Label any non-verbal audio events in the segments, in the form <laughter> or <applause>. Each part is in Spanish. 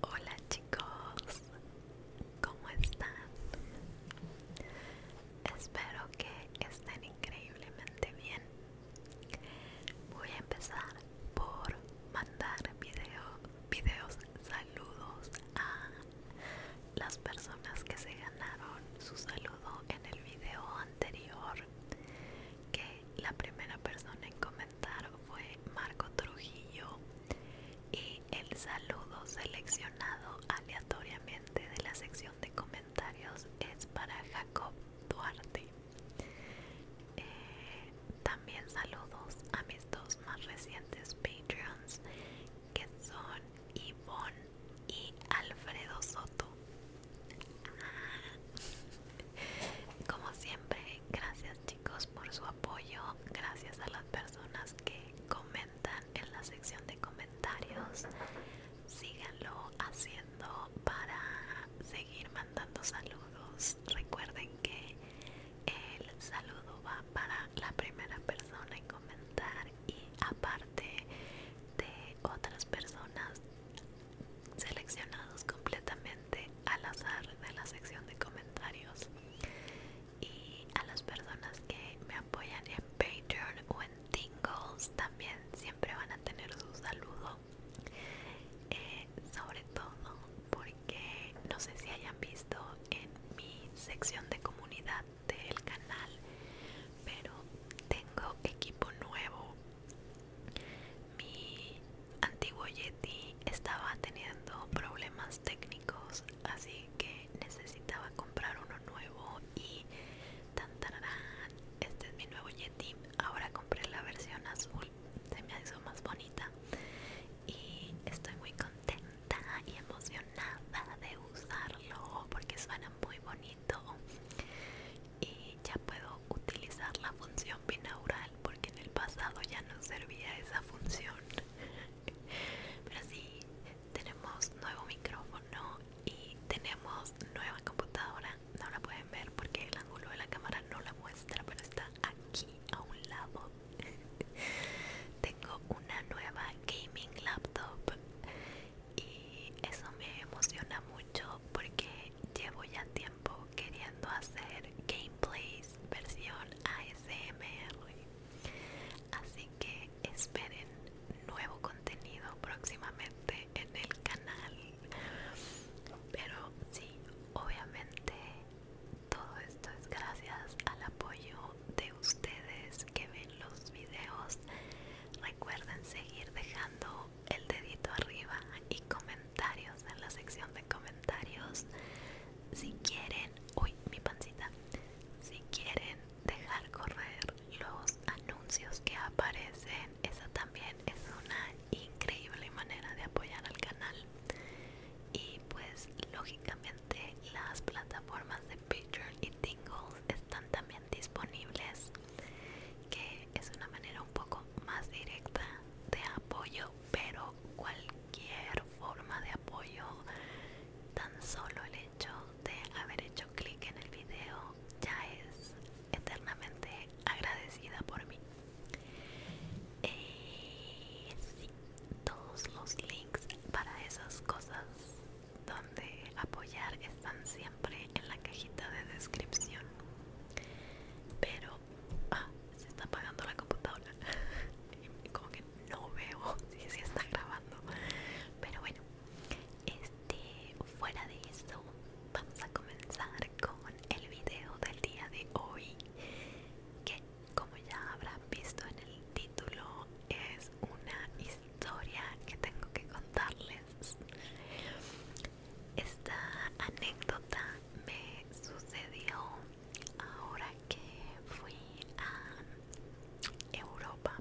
Hola chicos, ¿cómo están? Espero que estén increíblemente bien. Voy a empezar por mandar video, videos saludos a las personas que se ganaron su saludo en el video anterior que la primera persona en comentar fue Marco Trujillo y el saludo seleccionado aleatoriamente de la sección de comentarios es para Jacob Duarte. Eh, también saludos a mis dos más recientes Patreons que son Yvonne y Alfredo Soto. <laughs> Como siempre, gracias chicos por su apoyo, gracias a las personas que comentan en la sección de comentarios. Síganlo haciendo para seguir mandando saludos. Recuerden que el saludo va para la primera persona en comentar y aparte de otras personas seleccionados completamente al azar de la sección de comentarios y a las personas que me apoyan en Patreon o en Tingles también siempre van a tener su saludo eh, sobre todo porque no sé si hayan visto en mi sección de comunidad del canal pero tengo equipo nuevo mi antiguo Yeti estaba teniendo problemas técnicos, así que necesitaba comprar uno nuevo y tan este es mi nuevo Yeti. Ahora compré la versión azul, se me hizo más bonita y estoy muy contenta y emocionada de usarlo porque suena muy bonito y ya puedo utilizar la función binaural porque en el pasado ya no servía esa función pero sí tenemos nuevo micrófono y tenemos nueva computadora no la pueden ver porque el ángulo de la cámara no la muestra pero está aquí a un lado <laughs> tengo una nueva gaming laptop y eso me emociona mucho porque llevo ya tiempo queriendo hacer gameplays versión ASMR. Así que esperen nuevo contenido próximamente en el canal. Pero sí, obviamente todo esto es gracias al apoyo de ustedes que ven los videos. Recuerden seguir dejando el dedito arriba y comentarios en la sección de comentarios si quieren, uy mi pancita, si quieren dejar correr los anuncios que aparecen, esa también es una increíble manera de apoyar al canal y pues lógicamente las plataformas de Picture y Tingles están también disponibles que es una manera un poco más directa de apoyo, pero cualquier forma de apoyo, tan solo el hecho de haber hecho clic en el video ya es eternamente agradecida por mí. Eh, todos los links para esas cosas donde apoyar están siempre en la cajita de descripción. Pero ah, se está apagando la computadora. <laughs> Como que no veo <laughs> si se está grabando. Pero bueno, este fuera de eso, vamos a comenzar con el video del día de hoy. Que como ya habrán visto en el título, es una historia que tengo que contarles. Esta anécdota me sucedió ahora que fui a Europa.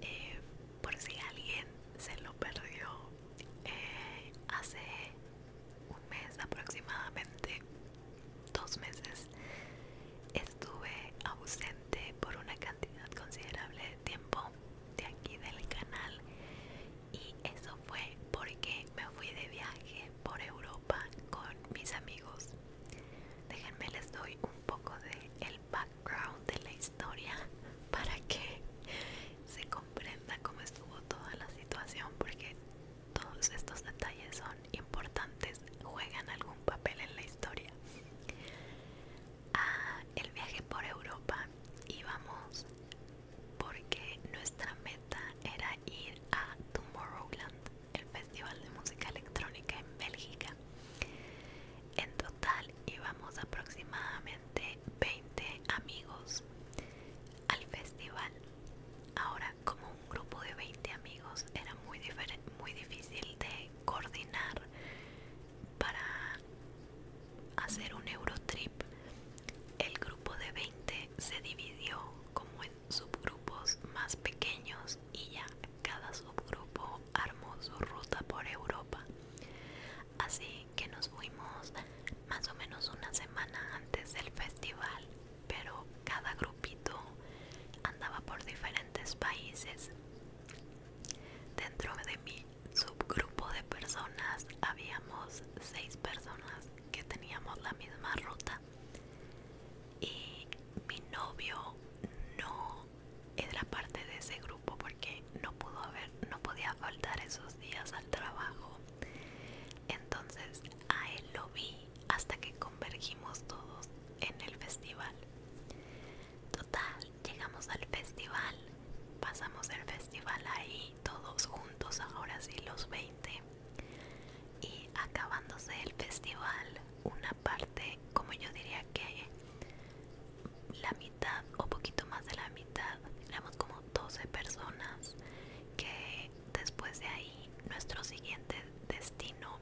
Eh, por si alguien se lo perdió, eh, hace un mes aproximadamente, dos meses, estuve ausente por una cantidad considerable de tiempo de aquí del canal y eso fue porque me fui de viaje por Europa con mis amigos. Déjenme les doy un poco de el background de la historia <laughs> para que se comprenda cómo estuvo toda la situación porque todos estos detalles son importantes, juegan algún papel en la historia. Ah, el viaje por Europa íbamos porque nuestra meta era ir a Tomorrowland, el festival de música electrónica en Bélgica. En total íbamos aproximadamente 20 amigos al festival. Ahora, como un grupo de 20 amigos era muy, muy difícil de coordinar para hacer un Eurotrip el grupo de 20 se dividió como en subgrupos más pequeños y ya cada subgrupo armó su ruta por Europa. Así que nos fuimos más o menos una semana antes del festival, pero cada grupito andaba por diferentes países. Dentro de mí subgrupo de personas habíamos seis personas que teníamos la misma ruta y mi novio no era parte de ese grupo porque no pudo haber no podía faltar esos días al trabajo entonces a él lo vi hasta que convergimos todos en el festival total llegamos al festival pasamos el festival ahí todos juntos ahora sí los 20 y acabándose el festival una parte como yo diría que la mitad o poquito más de la mitad éramos como 12 personas que después de ahí nuestro siguiente destino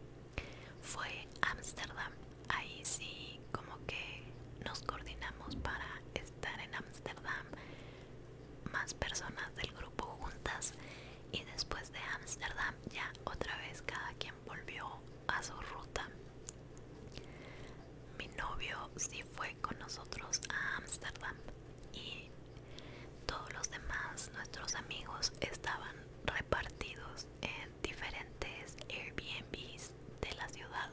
fue Ámsterdam ahí sí como que nos coordinamos para estar en Ámsterdam más personas del grupo juntas y después de Ámsterdam ya otra vez cada quien volvió a su ruta. Mi novio sí fue con nosotros a Ámsterdam y todos los demás, nuestros amigos, estaban repartidos en diferentes Airbnbs de la ciudad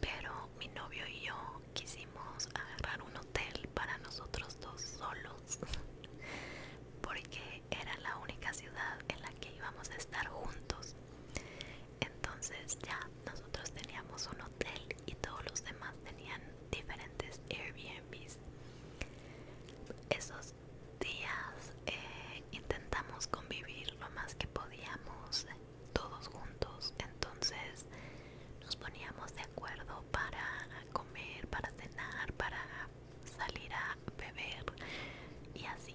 pero mi novio y yo quisimos agarrar un hotel para nosotros dos solos porque era la única ciudad en la que íbamos a estar juntos entonces ya nosotros teníamos un hotel y todos los demás tenían diferentes Airbnbs esos días eh, intentamos convivir lo más que podíamos todos juntos entonces nos poníamos de acuerdo para comer para cenar para salir a beber y así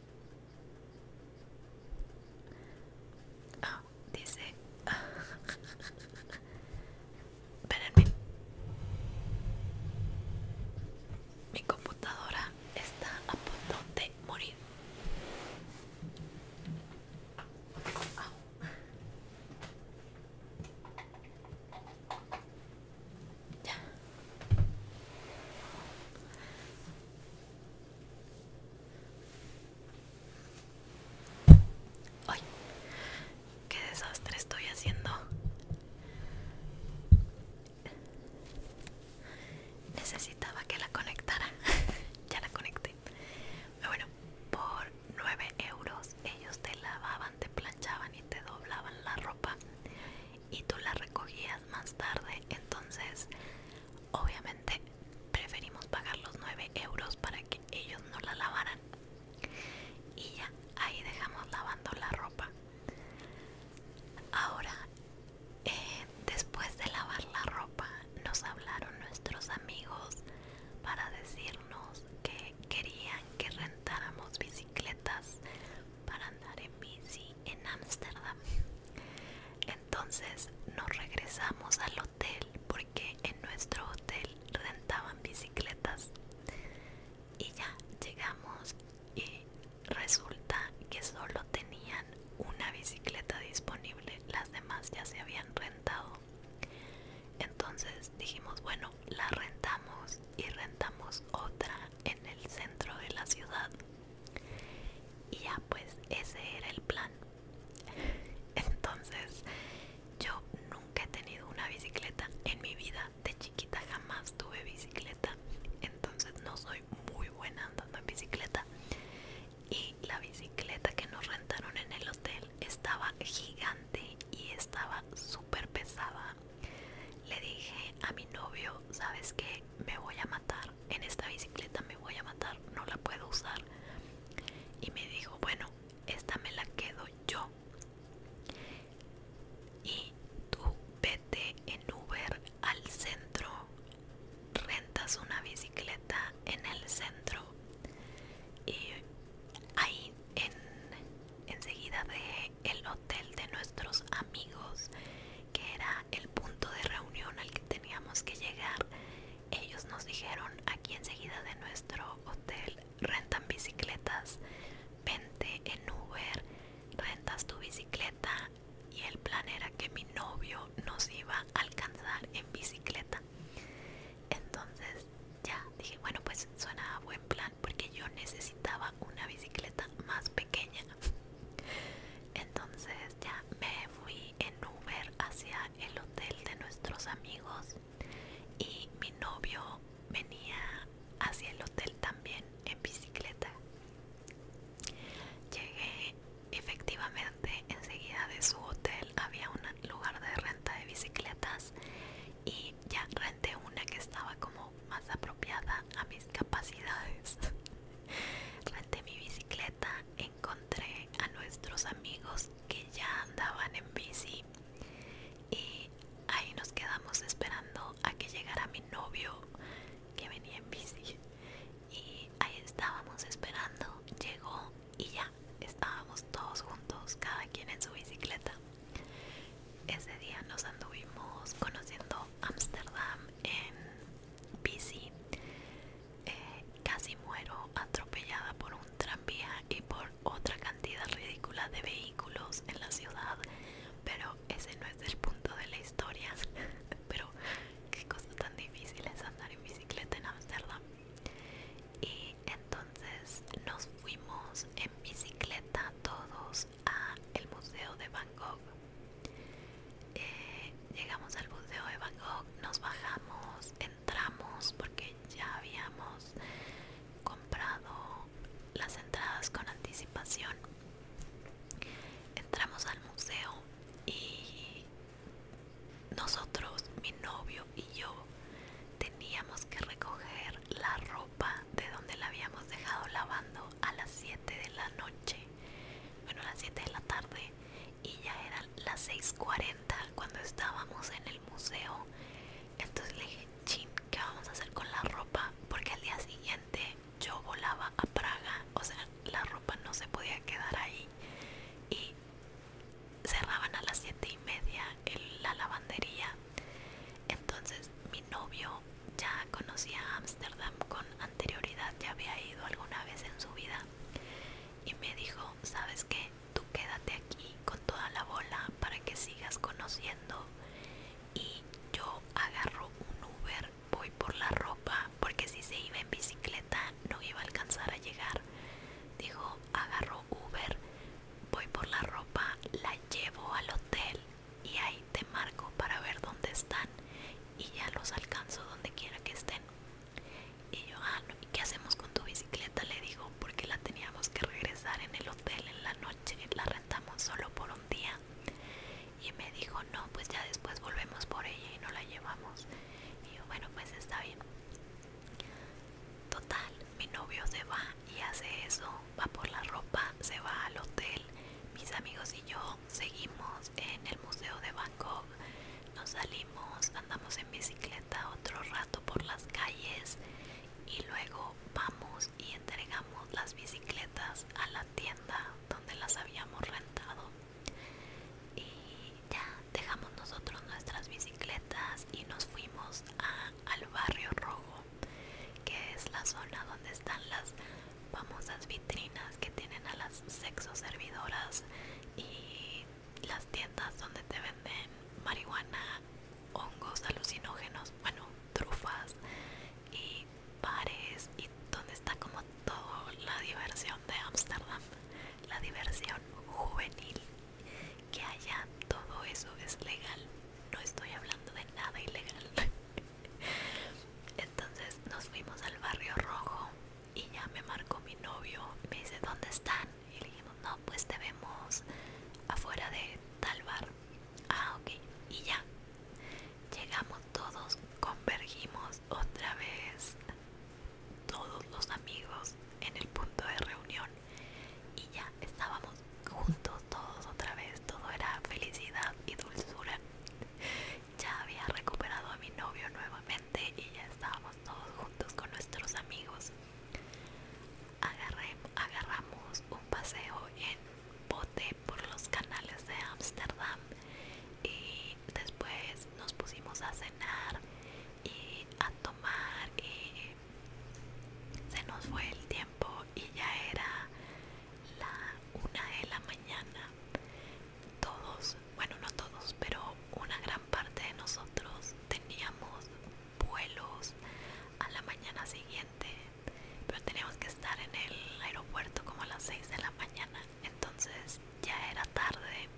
Ah, dice... <laughs> Mi computadora está a punto de morir. Ay, qué desastre estoy haciendo. Necesitaba que la conectara. <laughs> ya la conecté. Pero bueno, por 9 euros ellos te lavaban, te planchaban y te doblaban la ropa. Y tú la recogías más tarde. Entonces, obviamente preferimos pagar los 9 euros para que ellos no la lavaran y ya ahí dejamos lavando la ropa ahora eh, después de lavar la ropa nos hablaron nuestros amigos para decirnos que querían que rentáramos bicicletas para andar en bici en Ámsterdam entonces nos regresamos al hotel porque en nuestro hotel rentaban bicicletas. Y ya llegamos y resulta que solo tenían una bicicleta disponible, las demás ya se habían rentado. Entonces dijimos, bueno, la rentamos y rentamos otra en el centro de la ciudad y ya pues ese era el plan. Entonces yo nunca he tenido una bicicleta en mi vida. De chiquita jamás tuve bicicleta. Entonces no soy muy buena andando en bicicleta. Y la bicicleta que nos rentaron en el hotel estaba gigante y estaba súper pesada. Le dije a mi novio, ¿sabes qué? Me voy a en esta bicicleta me voy a matar, no la puedo usar. Y me dijo, bueno, esta me la quedo yo. Y tú vete en Uber al centro, rentas una bicicleta en el centro y ahí en, enseguida de el hotel de nuestros amigos que era el punto de reunión al que teníamos que llegar, ellos nos dijeron aquí enseguida de nuestro hotel rentan bicicletas, vente en Uber, rentas tu bicicleta y el plan era que mi novio nos iba a alcanzar en bicicleta. Entonces ya dije, bueno pues suena buen plan porque yo necesitaba una bicicleta más pequeña. <laughs> Entonces ya me fui en Uber hacia el hotel de nuestros amigos y mi novio venía hacia el hotel también en bicicleta. Llegué efectivamente enseguida de su hotel, había un lugar de renta de bicicletas y ya renté una que estaba como más apropiada a mis capacidades. <laughs> renté mi bicicleta encontré a nuestros amigos que ya andaban en bici y ahí nos quedamos esperando a que llegara mi novio que venía en bici y ahí estábamos esperando llegó y ya estábamos todos juntos cada quien en su bicicleta ese día nos anduvimos conociendo Ámsterdam en bici. Eh, casi muero atropellada por un tranvía y por otra cantidad ridícula de vehículos en la ciudad, pero ese no es el punto de la historia. <laughs> pero qué cosa tan difícil es andar en bicicleta en Amsterdam Y entonces nos fuimos en bicicleta todos a el museo de Bangkok eh, llegamos al Museo de Bangkok nos bajamos, entramos porque ya habíamos comprado las entradas con anticipación. Entramos al museo y nosotros, mi novio y yo, teníamos que recoger la ropa de donde la habíamos dejado lavando a las 7 de la noche, bueno, a las 7 de la tarde, y ya eran las 6.40 cuando estábamos en el museo. Entonces le dije, chin, ¿qué vamos a hacer con la ropa? Porque al día siguiente yo volaba a Praga, o sea, la ropa no se podía quedar ahí. Y cerraban a las 7.30 en la lavandería. Entonces mi novio ya conocía Ámsterdam con anterioridad, ya había ido alguna vez en su vida y me dijo, ¿sabes qué? Tú quédate aquí con toda la bola para que sigas conociendo y yo agarro un Uber, voy por la ropa porque si se iba en bicicleta no iba a alcanzar a llegar. Dijo, agarro Uber, voy por la ropa, la llevo al hotel y ahí te marco para ver dónde están y ya los alcanzo donde quiera que estén. Y yo, ah, no, ¿y qué hacemos con tu bicicleta? Le digo, porque la teníamos que regresar en el hotel en la noche, la rentamos solo por un día. Y me dijo, no, pues ya después volvemos por ella y no la llevamos. Y yo, bueno, pues está bien. Total, mi novio se va y hace eso, va por la ropa, se va al hotel, mis amigos y yo seguimos en el Museo de Bangkok. Nos salimos, andamos en bicicleta otro rato por las calles y luego vamos y entregamos las bicicletas a la tienda donde las habíamos rentado. Y ya dejamos nosotros nuestras bicicletas y nos fuimos al barrio rojo, que es la zona donde están las famosas vitrinas que tienen a las sexoservidoras servidoras y las tiendas donde te venden marihuana, hongos alucinógenos, bueno, trufas y bares y donde está como toda la diversión de Ámsterdam, la diversión juvenil, que allá todo eso es legal, no estoy hablando de nada ilegal. <laughs> Entonces nos fuimos al barrio rojo y ya me marcó mi novio me dice ¿dónde están? y le dijimos no pues te vemos afuera de tal bar ah ok y ya llegamos todos convergimos otra vez todos los amigos en el punto de reunión y ya estábamos juntos todos otra vez todo era felicidad y dulzura ya había recuperado a mi novio nuevamente y ya estábamos todos juntos con nuestros amigos. agarramos un paseo en bote por los canales de Ámsterdam y después nos pusimos a cenar y a tomar y se nos fue el tiempo y ya era la una de la mañana todos, bueno no todos, pero una gran parte de nosotros teníamos vuelos a la mañana siguiente, pero teníamos que estar en el aeropuerto como a las 6 de la mañana, entonces ya era tarde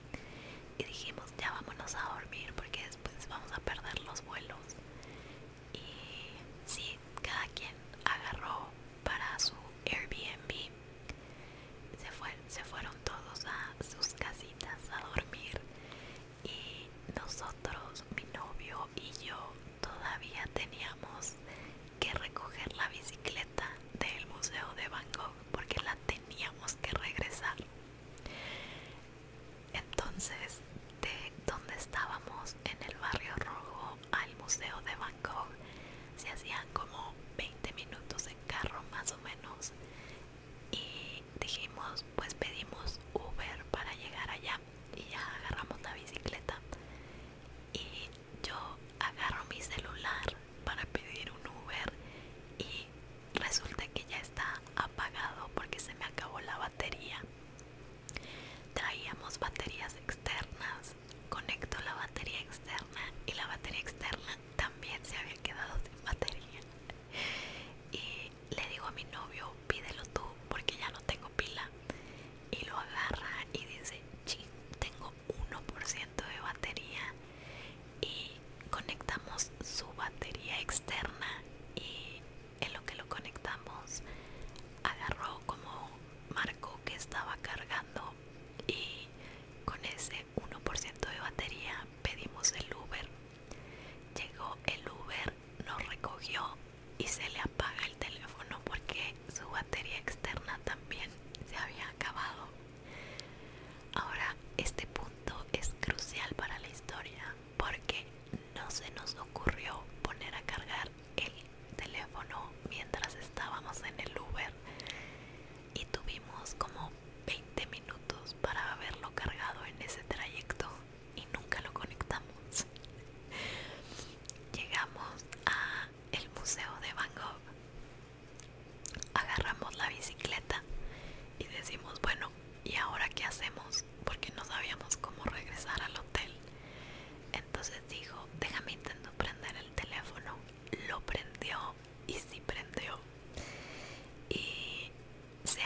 y dijimos ya vámonos a dormir porque después vamos a perder los vuelos. Y sí, cada quien agarró para su Airbnb se, se fueron todos a sus casitas a dormir y nosotros, mi novio y yo, todavía teníamos que recoger la bicicleta del museo de Bangkok porque la teníamos que regresar. Entonces, de donde estábamos en el barrio rojo al museo de Bangkok se hacían como 20 minutos carro más o menos y dijimos pues pedimos Uber para llegar allá y ya agarramos la bicicleta y yo agarro mi celular para pedir un Uber y resulta que ya está apagado porque se me acabó la batería traíamos baterías externas conecto la batería externa y la batería externa también se había quedado sin batería y le digo a mi novio pídelo tú porque ya no tengo pila y lo agarra y dice ching tengo 1% de batería y conectamos su batería externa y en lo que lo conectamos agarró como marco que estaba cargando y con ese 1% de batería, pedimos el Uber. Llegó el Uber, nos recogió y se le apaga el teléfono porque su batería externa también se había acabado. Ahora, este punto es crucial para la historia porque no se nos ocurrió poner a cargar el teléfono mientras estábamos en el Uber y tuvimos como 20 minutos para haberlo cargado en ese trayecto y nunca lo conectamos. Llegamos a el museo de Van Gogh. Agarramos la bicicleta y decimos, bueno, ¿y ahora qué hacemos? Porque no sabíamos cómo regresar al hotel. Entonces dijo, déjame intento prender el teléfono. Lo prendió y sí prendió y se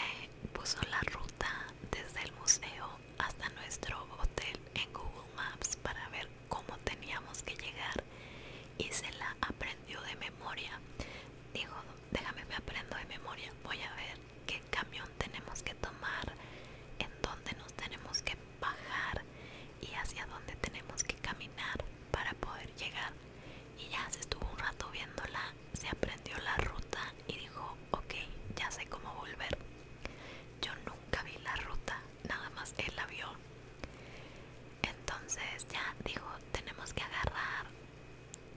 puso la ruta desde el museo hasta nuestro hotel en Google Maps para ver cómo teníamos que llegar y se la aprendió de memoria dijo déjame me aprendo de memoria voy a ver qué camión tenemos que tomar en dónde nos tenemos que bajar y hacia dónde tenemos que caminar para poder llegar y ya se estuvo un rato viéndola, se aprendió la ruta y dijo, ok, ya sé cómo volver. Yo nunca vi la ruta, nada más él la vio. Entonces ya dijo, tenemos que agarrar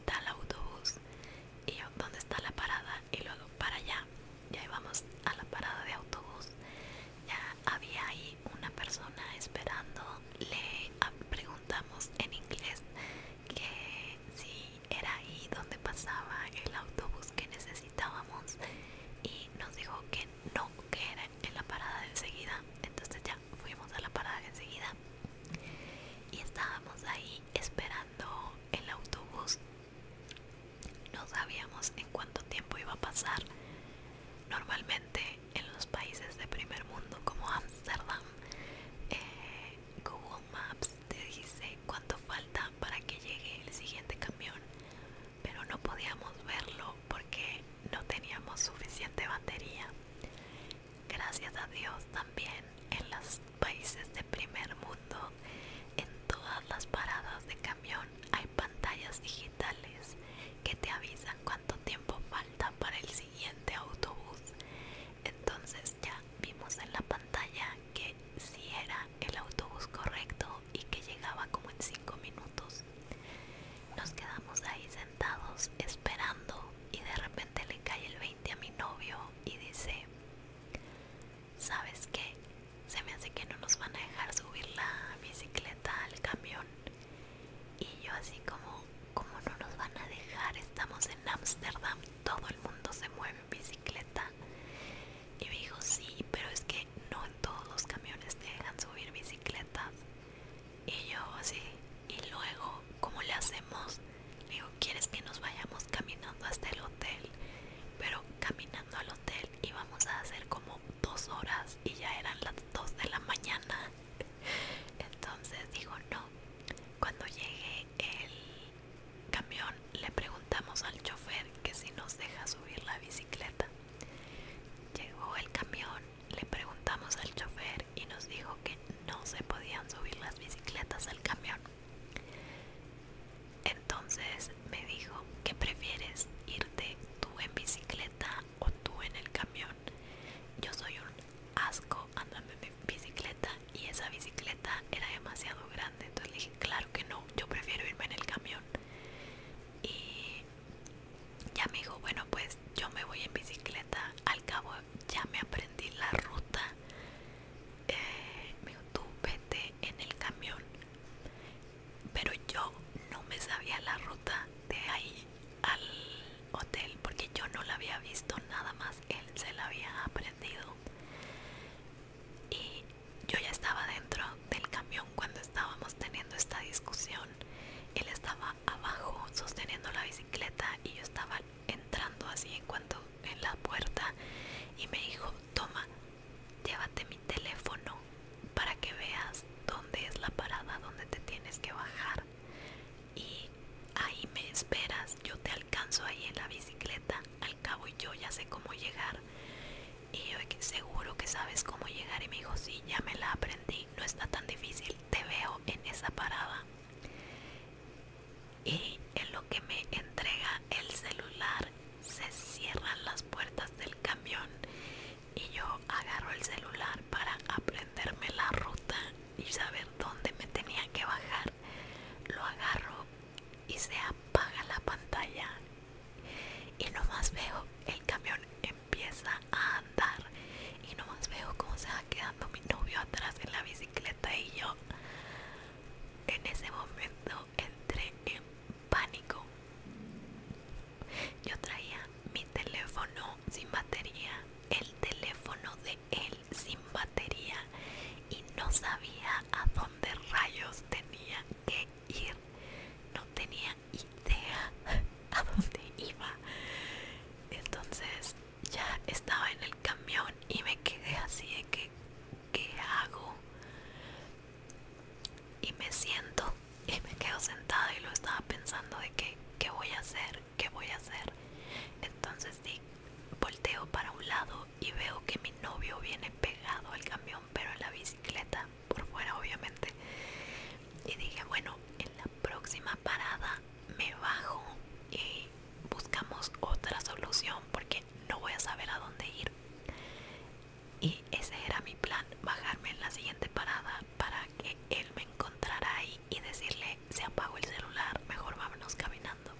tal autobús y yo, ¿dónde está la parada? Y luego para allá, ya íbamos a la parada de autobús. Ya había ahí una persona esperando, le preguntamos en inglés que si era ahí donde pasaba el autobús que necesitábamos y nos dijo que no, que era en la parada de enseguida. Entonces ya fuimos a la parada de enseguida y estábamos ahí esperando el autobús. No sabíamos en cuánto tiempo iba a pasar. Normalmente en los países de primer mundo como Amsterdam, eh, Google Maps te dice cuánto falta para que llegue el siguiente camión, pero no podíamos verlo porque no teníamos suficiente batería. Gracias a Dios también en los países de primer mundo, en todas las paradas de camión hay pantallas digitales que te avisan cuando cuánto tiempo falta para el siguiente autobús. Entonces ya vimos en la pantalla que si era el autobús correcto y que llegaba como en 5 minutos. Nos quedamos ahí sentados esperando y de repente le cae el 20 a mi novio y dice, ¿sabes qué? Se me hace que no nos van a dejar subir la bicicleta al camión. Y yo así como, como no nos van a dejar, estamos en Ámsterdam, todo el mundo se mueve en bicicleta. Y me dijo, sí, pero es que no en todos los camiones te dejan subir bicicletas. Y yo así, y luego, ¿cómo le hacemos? Le digo, ¿quieres que nos vayamos caminando hasta el hotel? Pero caminando al hotel íbamos a hacer como dos horas y ya eran las dos de la mañana. <laughs> Entonces dijo no. Cuando llegue el camión le preguntamos al chofer que si nos deja subir la bicicleta. Llegó el camión, le preguntamos al chofer y nos dijo que no se podían subir las bicicletas al camión. Entonces me dijo, que prefieres? ¿Irte tú en bicicleta o tú en el camión? Yo soy un asco andando en bicicleta y esa bicicleta era demasiado grande. Entonces le dije, claro que no, yo prefiero irme en el camión. Y ya me dijo, bueno, pues yo me voy en bicicleta. Al cabo ya me aprendí la ruta. Eh, me dijo, tú vete en el camión. Pero yo no me sabía la ruta de ahí al hotel porque yo no la había visto nada más él se la había aprendido y yo ya estaba dentro del camión cuando estábamos teniendo esta discusión él estaba abajo sosteniendo la bicicleta y yo estaba entrando así en cuanto en la puerta y me dijo toma llévate mi teléfono para que veas dónde es la parada donde te tienes que bajar y ahí me esperas, yo te alcanzo ahí en la bicicleta, al cabo yo ya sé cómo llegar y yo seguro que sabes cómo llegar y me dijo, ya me la aprendí, no está tan difícil, te veo en esa parada. Y en lo que me entrega el celular se cierran las puertas del camión y yo agarro el celular para aprenderme la ruta y saber dónde me tenía que bajar lo agarro y se apaga la pantalla y más veo el camión empieza a andar y más veo cómo se va quedando mi novio atrás en la bicicleta y yo en ese momento entré en pánico yo traía mi teléfono sin batería, el teléfono de él sin batería y no sabía a dónde rayos tenía que ir. No tenía idea a dónde iba. Entonces ya estaba en el camión y me quedé así de que, ¿qué hago? Y me siento y me quedo sentada y lo estaba pensando de que, ¿qué voy a hacer? ¿Qué voy a hacer? Entonces sí, volteo para un lado y veo que mi novio viene pegado al camión, pero en la bicicleta, por fuera obviamente. Y dije, bueno, en la próxima parada me bajo y buscamos otra solución porque no voy a saber a dónde ir. Y ese era mi plan, bajarme en la siguiente parada para que él me encontrara ahí y decirle se apagó el celular, mejor vámonos caminando.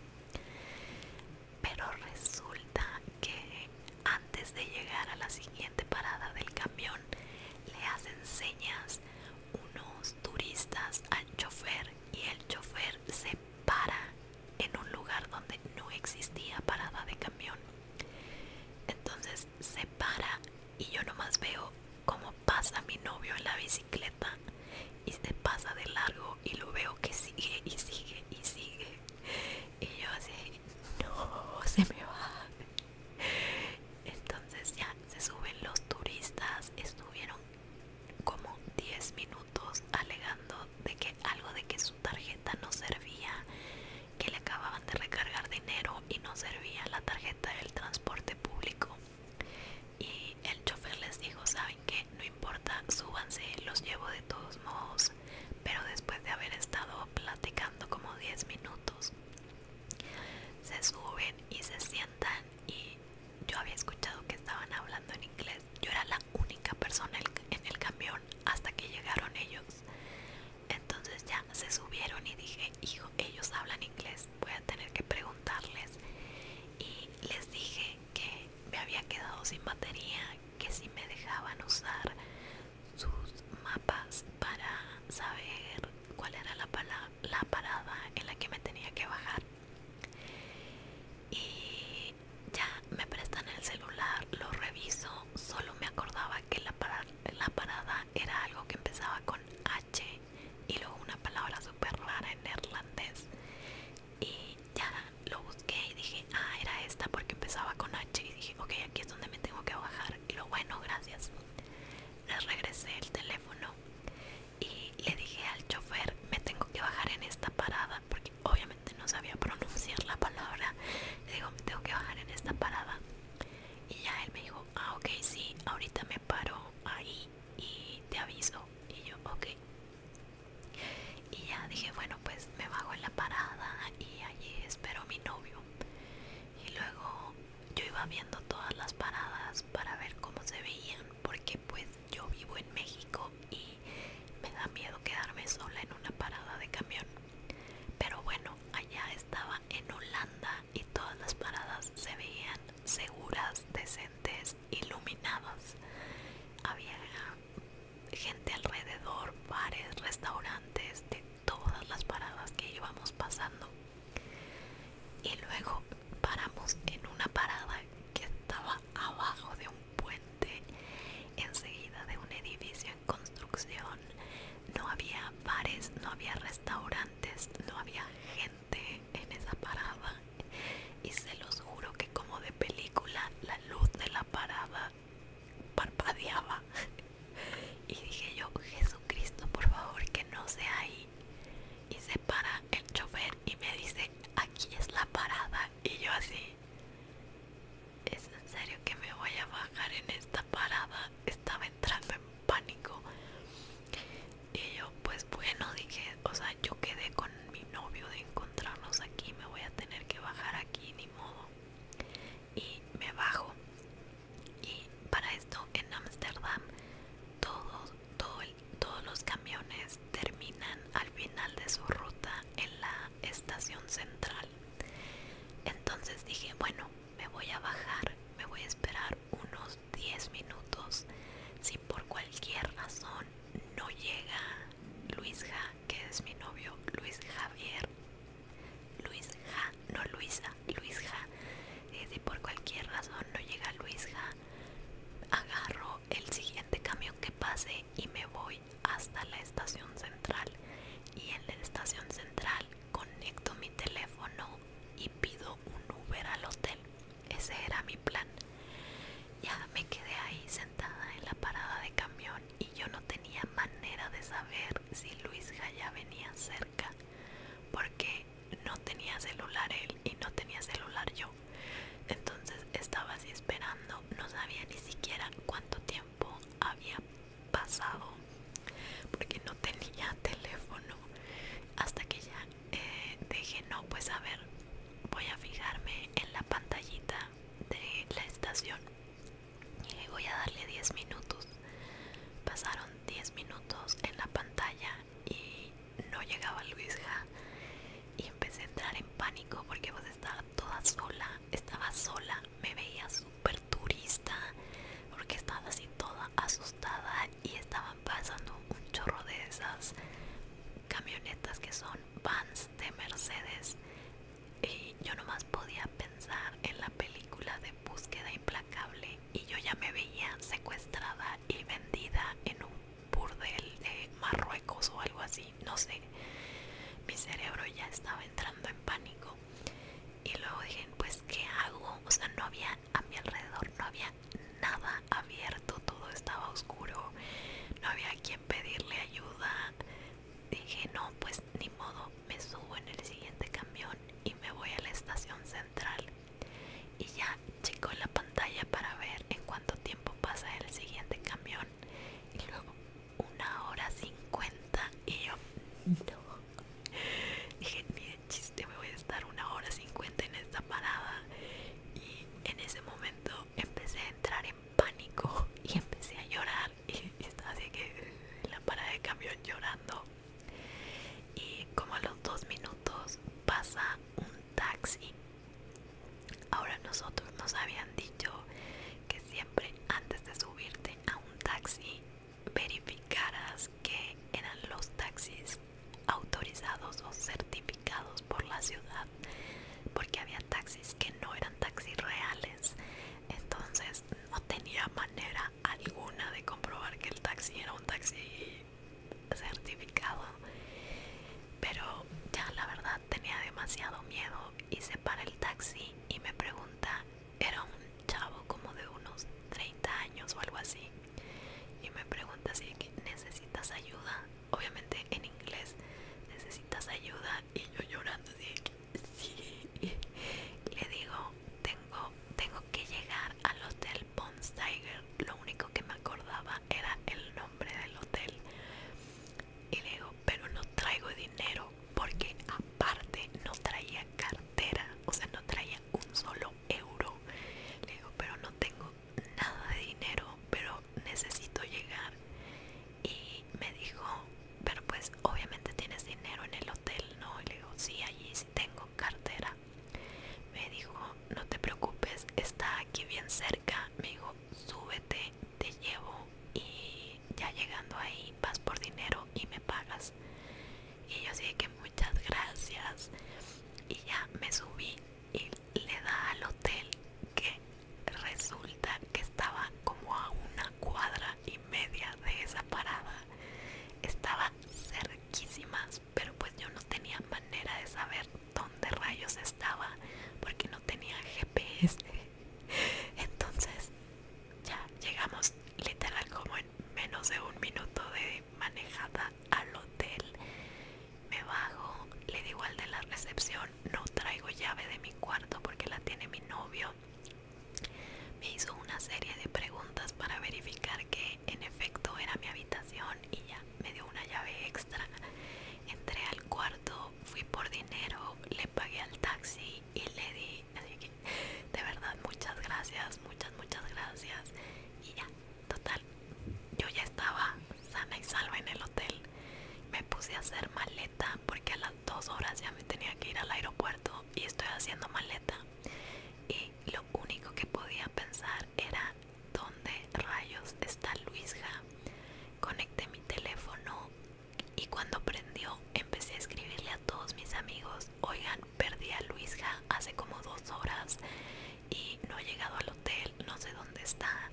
Pero resulta que antes de llegar a la siguiente parada del camión le hacen señas unos turistas al chofer y el chofer se para en un lugar donde no existía parada de camión. Entonces se para y yo nomás veo cómo pasa mi novio en la bicicleta y se pasa de largo y lo veo que sigue y sigue y sigue. Y yo así, no, se me va. Entonces ya se suben los turistas, estuvieron como 10 minutos alegando de que algo de que su tarjeta no servía, que le acababan de recargar dinero y no servía la tarjeta del transporte público y el chofer les dijo saben que no importa súbanse los llevo de todos modos pero después de haber estado platicando como 10 minutos se suben y se sientan y yo había escuchado que estaban hablando en inglés yo era la única persona en el camión hasta que llegaron ellos entonces ya se subieron y dije hijo ellos hablan inglés voy a tener que preguntarles y les dije que me había quedado sin batería que si me dejaban usar sus mapas para saber cuál era la, la parada en la que me tenía que bajar y ya me prestan el celular lo reviso solo me acordaba que la, la parada era algo que empezaba con y luego una palabra súper rara en neerlandés y ya lo busqué y dije ah era esta porque empezaba con H y dije ok aquí es donde me tengo que bajar y lo bueno gracias Le regresé el teléfono y le dije al chofer me tengo que bajar en esta parada porque obviamente no sabía pronunciar la palabra le digo me tengo que bajar en esta parada y ya él me dijo ah ok sí ahorita me paro ahí y te aviso y yo ok y ya dije bueno pues me bajo en la parada y allí espero a mi novio y luego yo iba viendo todas las paradas para ver cómo se veían porque pues yo vivo en México y me da miedo quedarme sola en una parada de camión pero bueno allá estaba en Holanda y todas las paradas se veían seguras, decentes, iluminadas. Había gente alrededor, bares, restaurantes de todas las paradas que íbamos pasando. Y luego paramos en una parada que estaba abajo de un puente, enseguida de un edificio en construcción. No había bares, no había restaurantes, no había gente en esa parada y se los juro que como de película la luz de la parada parpadeaba <laughs> y dije yo Jesucristo por favor que no sea ahí y se para el chofer y me dice aquí es la parada y yo así es en serio que me voy a bajar en esta parada estaba entrando en pánico y yo pues bueno dije, o sea, yo quedé con mi novio de encontrarnos aquí, me voy a tener que bajar aquí, ni modo. Y me bajo. Y para esto en Ámsterdam todos, todo todos los camiones terminan al final de su ruta en la estación central. Entonces dije, bueno, me voy a bajar, me voy a esperar unos 10 minutos. Si por cualquier razón no llega Luis Ja, que es mi novio, Luis Javier, Luis Ja, no Luisa, Luis Ja. Eh, si por cualquier razón no llega Luis Ja, agarro el siguiente camión que pase y me voy hasta la estación central. Y en la estación central conecto mi teléfono y pido un Uber al hotel. Ese era mi plan. Ya me quedé ahí sentada en la parada de camión y yo no tenía manera de saber si Luis ya venía cerca porque no tenía celular él y no tenía celular yo. Entonces estaba así esperando, no sabía ni siquiera cuánto tiempo había pasado porque no tenía <laughs> teléfono hasta que ya eh, dije no pues a ver voy a fijarme en la pantallita de la estación y voy a darle 10 minutos pasaron 10 minutos en la pantalla y no llegaba Luis y empecé a entrar en pánico porque pues estaba toda sola estaba sola me veía súper turista porque estaba así toda asustada y estaban pasando un chorro de esas camionetas que son vans de Mercedes y yo nomás podía pensar en la película de búsqueda implacable y yo ya me veía secuestrada y vendida en un burdel de Marruecos o algo así, no sé. Mi cerebro ya estaba entrando en pánico y luego dije, pues ¿qué hago? O sea, no había a mi alrededor, no había nada abierto, todo estaba oscuro, no había quien pedirle ayuda. Dije, no, pues ni modo, me subo en el siguiente camión y me voy a la estación central. Y ya checo la pantalla para ver en cuánto tiempo pasa el siguiente camión. Y luego una hora cincuenta y yo <laughs> Dije, ni de chiste me voy a estar una hora cincuenta en esta parada. Y en ese momento empecé a entrar en pánico y empecé a llorar. <laughs> Y, así que en la parada de camión llorando. Y como a los dos minutos pasa un taxi. Ahora nosotros nos habían dicho que siempre antes de subirte a un taxi verificaras que eran los taxis autorizados o certificados por la ciudad porque había taxis que no eran taxis reales entonces no tenía manera alguna de comprobar que el taxi era un taxi certificado pero ya la verdad tenía demasiado miedo y se para el taxi y me pregunta era un chavo como de unos 30 años o algo así y me pregunta si necesitas ayuda, obviamente en inglés, necesitas ayuda y yo llorando dije sí le digo tengo tengo que llegar al hotel Pons lo único que me acordaba era el nombre del hotel y le digo pero no traigo dinero porque aparte no traía cartera o sea no traía un solo euro. Le digo, pero no tengo nada de dinero, pero necesito llegar. Y me dijo, pero pues obviamente tienes dinero en el hotel, ¿no? Y le digo, sí, allí sí tengo cartera. Me dijo, no te preocupes, está aquí bien cerca. Me dijo, súbete, te llevo y ya llegando ahí vas por dinero y me pagas y yo así que muchas gracias y ya me subí y le da al hotel que resulta que estaba como a una cuadra y media de esa parada estaba cerquísimas pero pues yo no tenía manera de saber dónde rayos estaba porque no tenía GPS <laughs> entonces ya llegamos literal como en menos de un minuto de manejada al hotel. Me bajo, le digo al de la recepción, no traigo llave de mi cuarto porque la tiene mi novio. Me hizo una serie de preguntas para verificar que en efecto era mi habitación y ya me dio una llave extra. Entré al cuarto, fui por dinero, le pagué al taxi y le di, que de verdad muchas gracias, muchas, muchas gracias y ya Total, yo ya estaba sana y salva en el hotel. Me puse a hacer maleta porque a las dos horas ya me tenía que ir al aeropuerto y estoy haciendo maleta. Y lo único que podía pensar era dónde rayos está Luisja. Conecté mi teléfono y cuando prendió empecé a escribirle a todos mis amigos, oigan, perdí a Luisja hace como dos horas y no he llegado al hotel, no sé dónde está.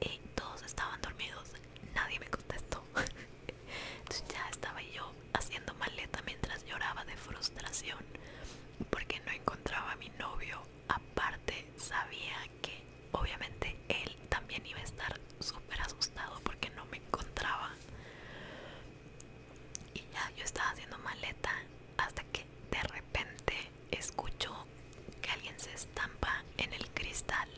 Y todos estaban dormidos, nadie me contestó. <laughs> ya estaba yo haciendo maleta mientras lloraba de frustración porque no encontraba a mi novio. Aparte sabía que obviamente él también iba a estar súper asustado porque no me encontraba y ya yo estaba haciendo maleta hasta que de repente escucho que alguien se estampa en el cristal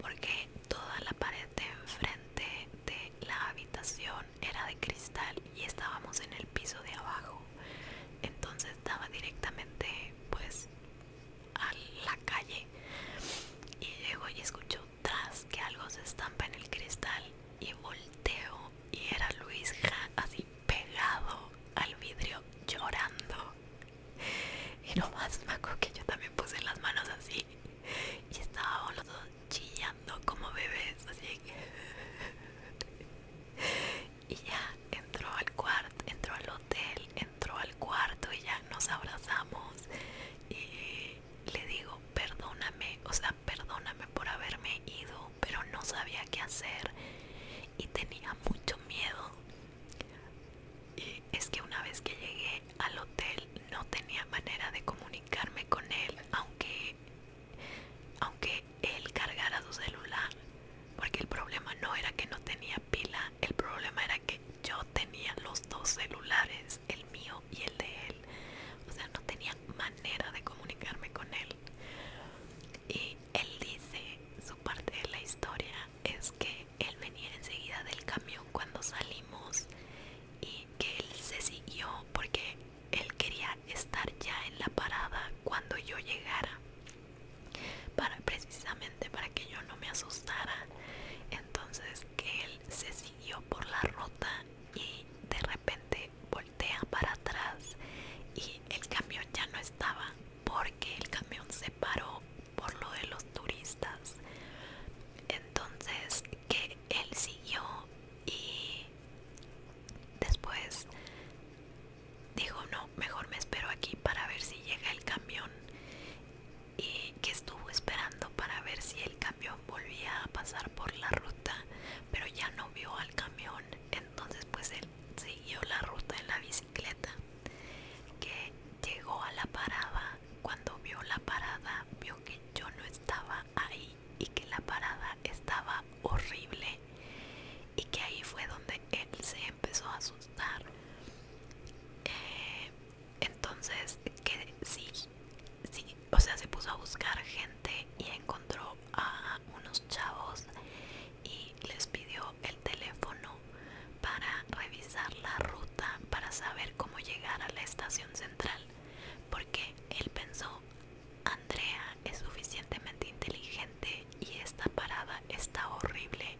porque toda la pared de enfrente de la habitación era de cristal y estábamos en el piso de abajo entonces estaba directamente pues a la calle y llego y escucho tras que algo se estampa en el cristal y volteo y era Luis así pegado al vidrio llorando y no más que yo también puse las manos así y estábamos los dos chillando como bebés así y ya entró al cuarto entró al hotel entró al cuarto y ya nos abrazamos y le digo perdóname o sea perdóname por haberme ido, pero no sabía qué hacer y tenía mucho miedo. Y es que una vez que llegué al hotel no tenía manera de comunicarme con él, aunque, aunque él cargara su celular, porque el problema no era que no tenía pila, el problema era que yo tenía los dos celulares, el mío y el de él. O sea, no tenía de comunicarme con él. Y él dice, su parte de la historia es que él venía enseguida del camión cuando salimos y que él se siguió porque él quería estar ya en la parada cuando yo llegara para precisamente para que yo no me asustara entonces que él se siguió por la ruta y de repente para atrás y el camión ya no estaba porque el camión se paró por lo de los turistas entonces que él siguió y después dijo no mejor me espero aquí para ver si llega el camión y que estuvo esperando para ver si el camión volvía a pasar por la ruta pero ya no vio al camión entonces pues él siguió la ruta en la bicicleta que llegó a la parada. Cuando vio la parada vio que yo no estaba ahí y que la parada estaba horrible y que ahí fue donde él se empezó a asustar. Eh, entonces que sí, sí, o sea, se puso a buscar gente y encontró a unos chavos y les pidió el teléfono para revisar la ruta para saber cómo llegar a la estación central porque él pensó Andrea es suficientemente inteligente y esta parada está horrible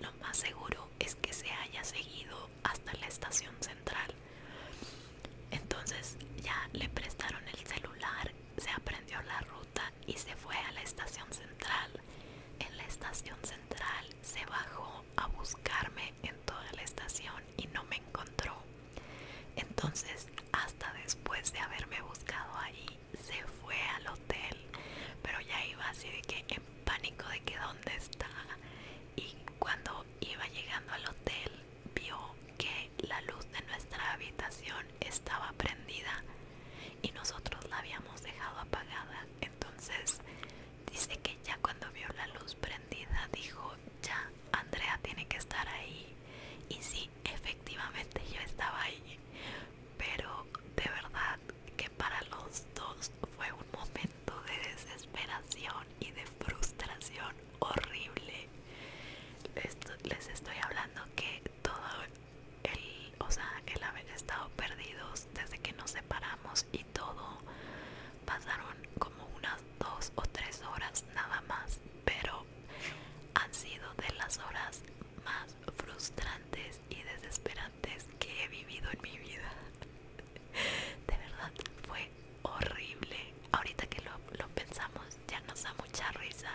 lo más seguro es que se haya seguido hasta la estación central entonces ya le prestaron el celular, se aprendió la ruta y se fue a la estación central. En la estación central se bajó a buscarme en toda la estación y no me encontró. Entonces hasta después de haberme buscado ahí se fue al hotel, pero ya iba así de que en pánico de que dónde está. Y cuando iba llegando al hotel vio que la luz de nuestra habitación estaba prendida y nosotros la habíamos dejado apagada. Entonces dice que ya cuando vio la luz prendida dijo, ya, Andrea tiene que estar ahí. Y sí, efectivamente yo estaba ahí. Pero de verdad que para los dos fue un momento de desesperación y de frustración horrible. Les, les estoy hablando que todo el, o sea, el haber estado perdidos desde que nos separamos y todo, pasaron como unas dos o tres horas nada más, pero han sido de las horas más frustrantes y desesperantes que he vivido en mi vida. <laughs> De verdad, fue horrible ahorita que lo, pensamos ya nos da mucha risa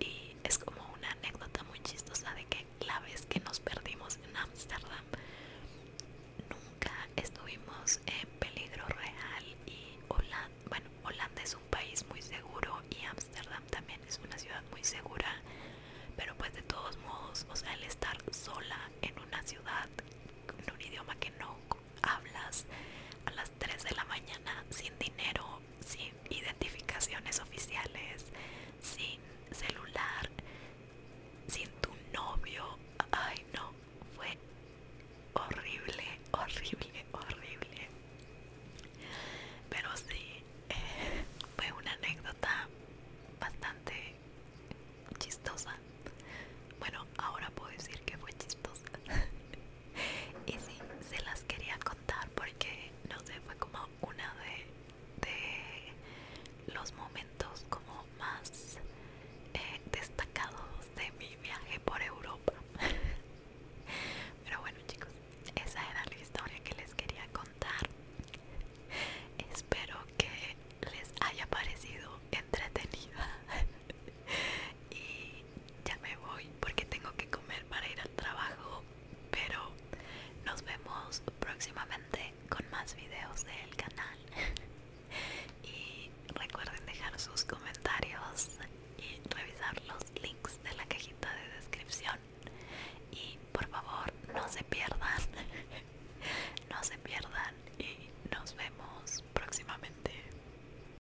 y es como una anécdota muy chistosa de que la vez que nos perdimos en Ámsterdam nunca estuvimos en peligro real y Holanda, bueno, Holanda es un país muy seguro y Ámsterdam también es una ciudad muy segura, pero pues de todos modos, o sea, el estar sola en una ciudad en un idioma que no hablas a las 3 de la mañana sin dinero, sin identificaciones oficiales, sin celular, sin tu novio. Ay, no, fue horrible, horrible, horrible. Pero sí, eh, fue una anécdota bastante chistosa. Bueno, ahora puedo decir que fue chistosa. <laughs> <laughs> y sí, se las quería contar porque no sé, fue como una de, los momentos como más eh, destacados de mi viaje por Europa. <laughs> Pero bueno chicos, esa era la historia que les quería contar. Espero que les haya parecido entretenida. <laughs> <laughs> y ya me voy porque tengo que comer para ir al trabajo pero nos vemos próximamente con más videos del canal <laughs> y recuerden dejar sus comentarios y revisar los links de la cajita de descripción y por favor no se pierdan <laughs> no se pierdan y nos vemos próximamente